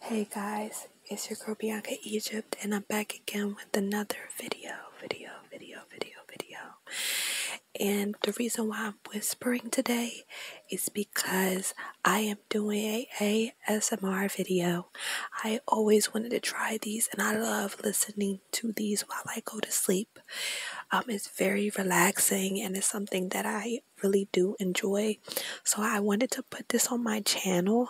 Hey guys, it's your girl Bianca Egypt and I'm back again with another video, video, video, video, video. And the reason why I'm whispering today is because I am doing a ASMR video. I always wanted to try these and I love listening to these while I go to sleep. Um, it's very relaxing and it's something that I really, do enjoy. So I wanted to put this on my channel.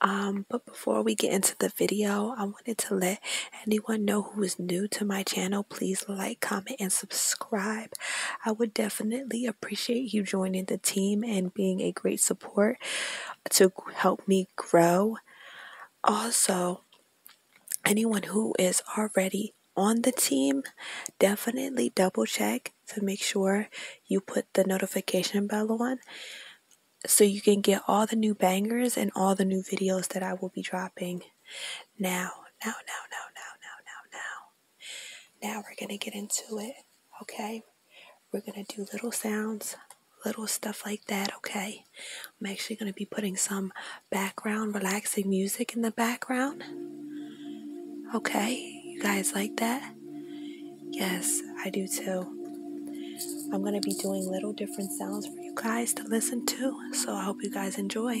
Um, but before we get into the video, I wanted to let anyone know who is new to my channel. Please like, comment, and subscribe. I would definitely appreciate you joining the team and being a great support to help me grow. Also, anyone who is already on the team, definitely double check to make sure you put the notification bell on so you can get all the new bangers and all the new videos that I will be dropping now, now, now, now, now, now, now, now. Now we're going to get into it, okay? We're going to do little sounds, little stuff like that, okay? I'm actually going to be putting some background, relaxing music in the background. Okay, you guys like that? Yes, I do too. I'm going to be doing little different sounds for you guys to listen to, so I hope you guys enjoy.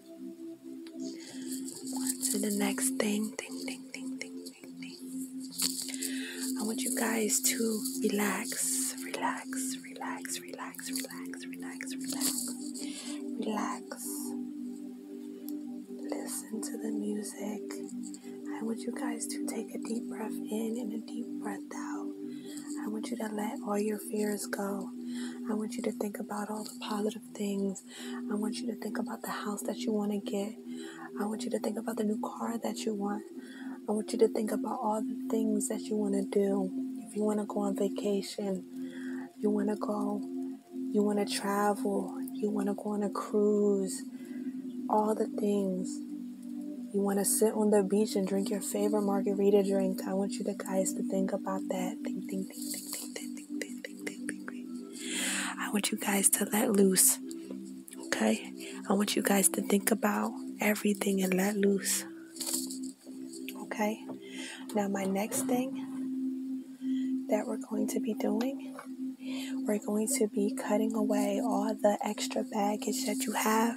On to the next thing, thing, thing, thing, thing, thing, thing. I want you guys to relax, relax, relax, relax, relax, relax, relax, relax. Listen to the music. I want you guys to take a deep breath in and a deep breath out. I want you to let all your fears go. I want you to think about all the positive things. I want you to think about the house that you want to get. I want you to think about the new car that you want. I want you to think about all the things that you want to do. If you want to go on vacation, you want to go, you want to travel, you want to go on a cruise, all the things. You want to sit on the beach and drink your favorite margarita drink. I want you to guys to think about that. I want you guys to let loose. Okay? I want you guys to think about everything and let loose. Okay? Now, my next thing that we're going to be doing, we're going to be cutting away all the extra baggage that you have,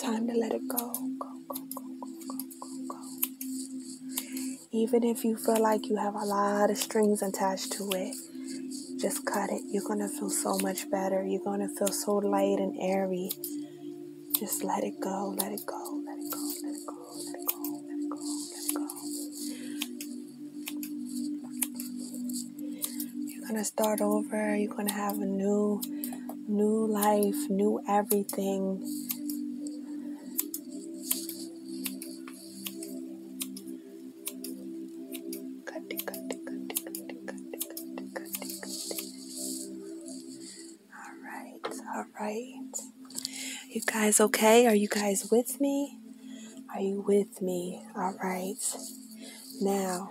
Time to let it go. Go, go, go, go, go, go, go. Even if you feel like you have a lot of strings attached to it, just cut it. You're going to feel so much better. You're going to feel so light and airy. Just let it go, let it go, let it go, let it go, let it go, let it go, let it go. You're going to start over. You're going to have a new new life, new everything. All right, all right. You guys okay? Are you guys with me? Are you with me? All right. Now,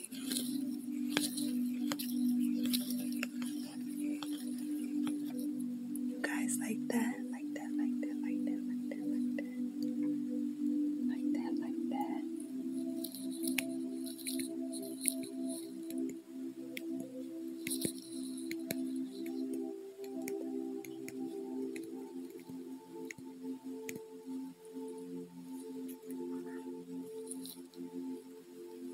You guys like that? Like that, like that, like that, like that, like that. Like that, like that.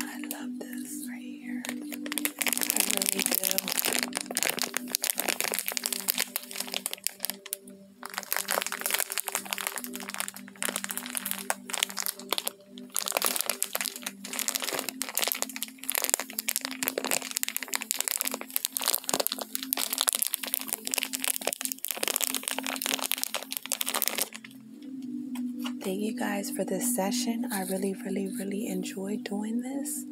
I love this right here. I really do. Thank you guys for this session. I really, really, really enjoyed doing this.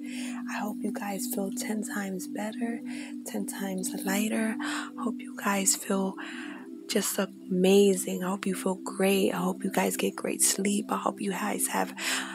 I hope you guys feel 10 times better, 10 times lighter. Hope you guys feel just amazing. I hope you feel great. I hope you guys get great sleep. I hope you guys have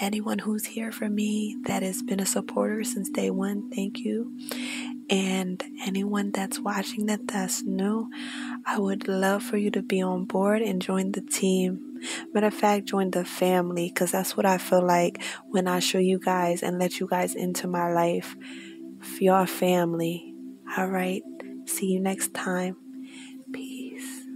anyone who's here for me that has been a supporter since day one, thank you. And anyone that's watching that that's new, I would love for you to be on board and join the team. Matter of fact, join the family because that's what I feel like when I show you guys and let you guys into my life. You're family. All right. See you next time. Peace.